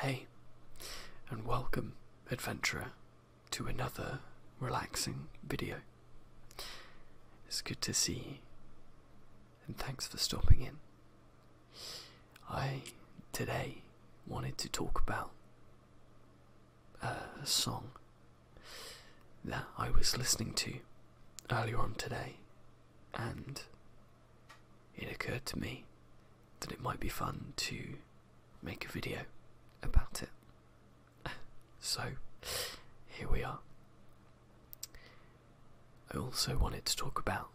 Hey, and welcome, adventurer, to another relaxing video. It's good to see you, and thanks for stopping in. I today wanted to talk about a song that I was listening to earlier on today, and it occurred to me that it might be fun to make a video about it. so, here we are. I also wanted to talk about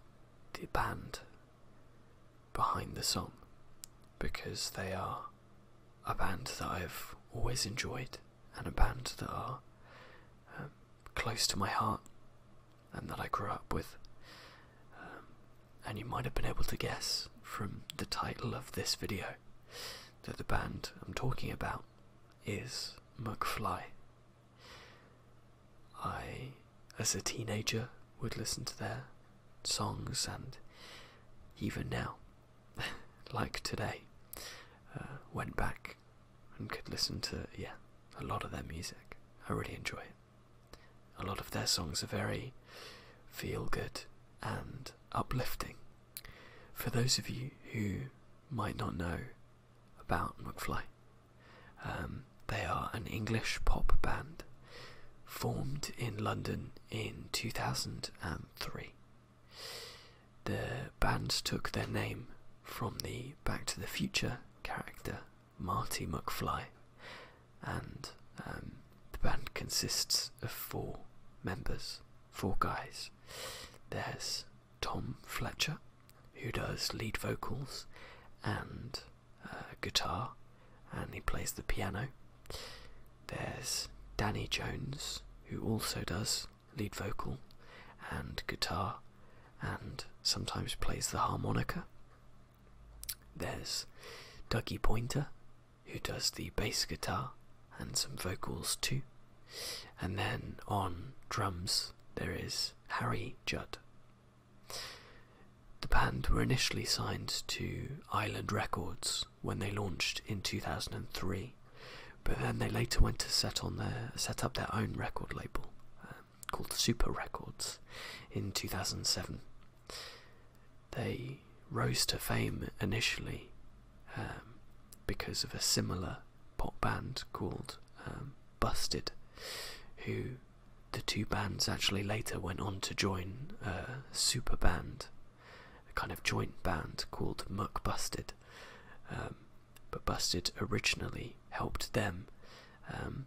the band behind the song because they are a band that I've always enjoyed and a band that are um, close to my heart and that I grew up with. Um, and you might have been able to guess from the title of this video that the band I'm talking about is McFly. I, as a teenager, would listen to their songs and even now, like today, uh, went back and could listen to, yeah, a lot of their music. I really enjoy it. A lot of their songs are very feel good and uplifting. For those of you who might not know about McFly, um, they are an English pop band formed in London in 2003. The bands took their name from the Back to the Future character Marty McFly, and um, the band consists of four members, four guys. There's Tom Fletcher, who does lead vocals and uh, guitar, and he plays the piano. There's Danny Jones, who also does lead vocal and guitar and sometimes plays the harmonica. There's Dougie Pointer, who does the bass guitar and some vocals too. And then on drums, there is Harry Judd. The band were initially signed to Island Records when they launched in 2003 but then they later went to set on their set up their own record label um, called Super Records in 2007. They rose to fame initially um, because of a similar pop band called um, Busted, who the two bands actually later went on to join a uh, super band, a kind of joint band called Muck Busted, but Busted originally helped them um,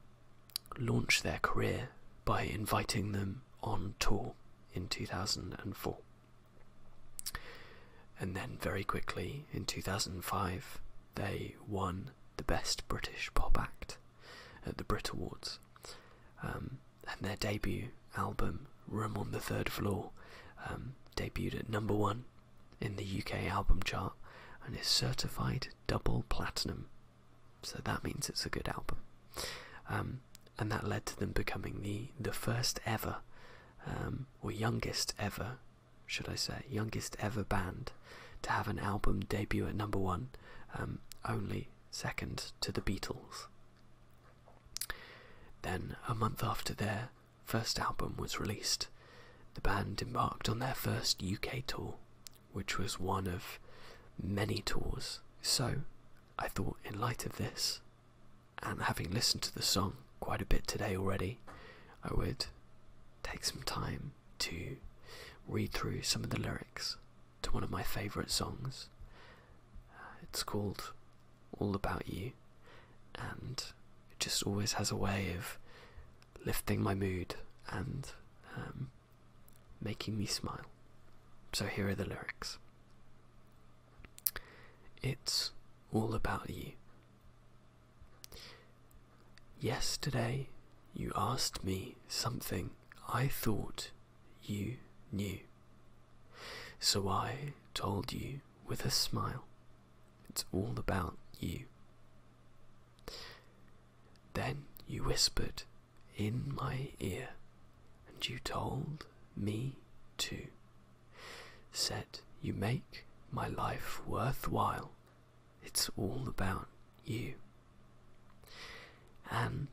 launch their career by inviting them on tour in 2004. And then, very quickly, in 2005, they won the Best British Pop Act at the Brit Awards. Um, and their debut album Room on the Third Floor um, debuted at number one in the UK album chart and is certified double platinum. So that means it's a good album. Um, and that led to them becoming the, the first ever, um, or youngest ever, should I say, youngest ever band to have an album debut at number one, only second to the Beatles. Then, a month after their first album was released, the band embarked on their first UK tour, which was one of many tours. So, I thought, in light of this, and having listened to the song quite a bit today already, I would take some time to read through some of the lyrics to one of my favourite songs. Uh, it's called all about you, and it just always has a way of lifting my mood and um, making me smile. So here are the lyrics It's all about you. Yesterday, you asked me something I thought you knew. So I told you with a smile, it's all about you. Then you whispered in my ear, and you told me to. Said you make my life worthwhile, it's all about you. And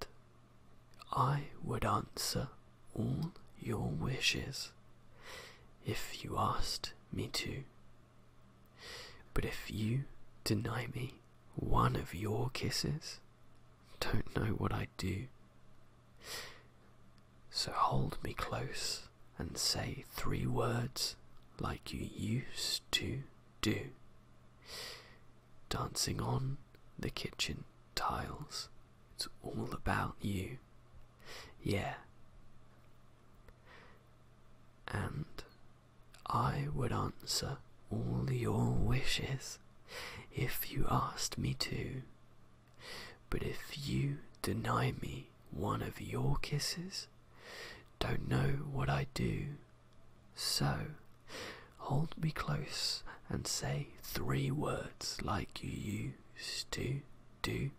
I would answer all your wishes if you asked me to. But if you deny me one of your kisses, don't know what I'd do. So hold me close and say three words like you used to do, dancing on the kitchen tiles. It's all about you. Yeah. And I would answer all your wishes if you asked me to. But if you deny me one of your kisses, don't know what I would do. So, hold me close and say three words like you used to do.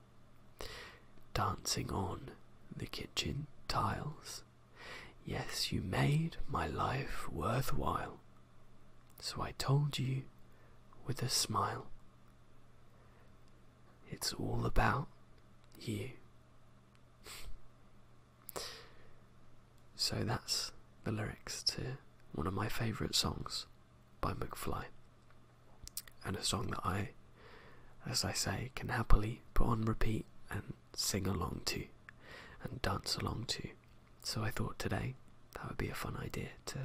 Dancing on the kitchen tiles. Yes, you made my life worthwhile. So I told you with a smile. It's all about you. So that's the lyrics to one of my favourite songs by McFly, and a song that I, as I say, can happily put on repeat and sing along to and dance along to. So I thought today that would be a fun idea to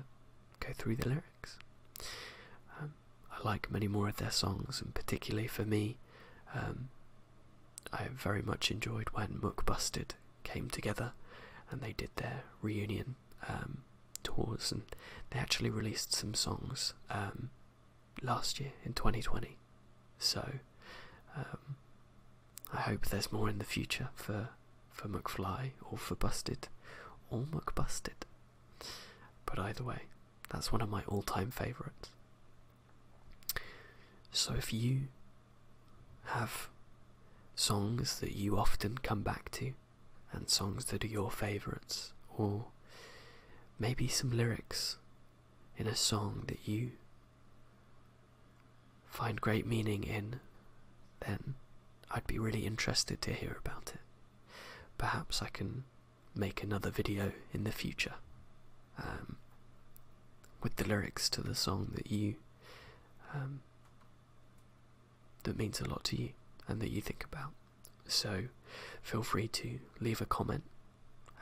go through the lyrics. Um, I like many more of their songs, and particularly for me, um, I very much enjoyed when Muckbusted came together and they did their reunion um, tours and they actually released some songs um, last year in 2020. So um, I hope there's more in the future for for McFly or for Busted or McBusted. But either way, that's one of my all-time favourites. So if you have songs that you often come back to, and songs that are your favourites, or maybe some lyrics in a song that you find great meaning in, then I'd be really interested to hear about it. Perhaps I can make another video in the future um, with the lyrics to the song that you um, that means a lot to you and that you think about. So feel free to leave a comment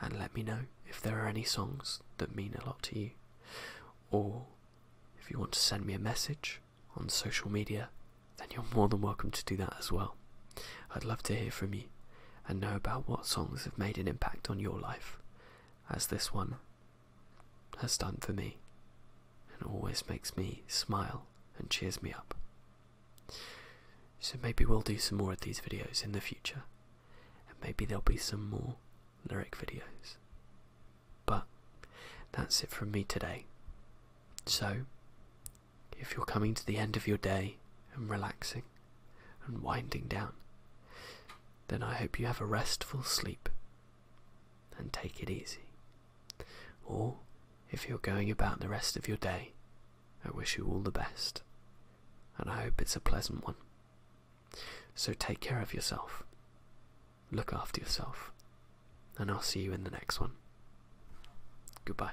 and let me know if there are any songs that mean a lot to you or if you want to send me a message on social media then you're more than welcome to do that as well. I'd love to hear from you and know about what songs have made an impact on your life, as this one has done for me, and always makes me smile and cheers me up. So maybe we'll do some more of these videos in the future, and maybe there'll be some more lyric videos. But that's it from me today. So, if you're coming to the end of your day and relaxing and winding down, then I hope you have a restful sleep and take it easy. Or if you're going about the rest of your day, I wish you all the best and I hope it's a pleasant one. So take care of yourself, look after yourself, and I'll see you in the next one. Goodbye.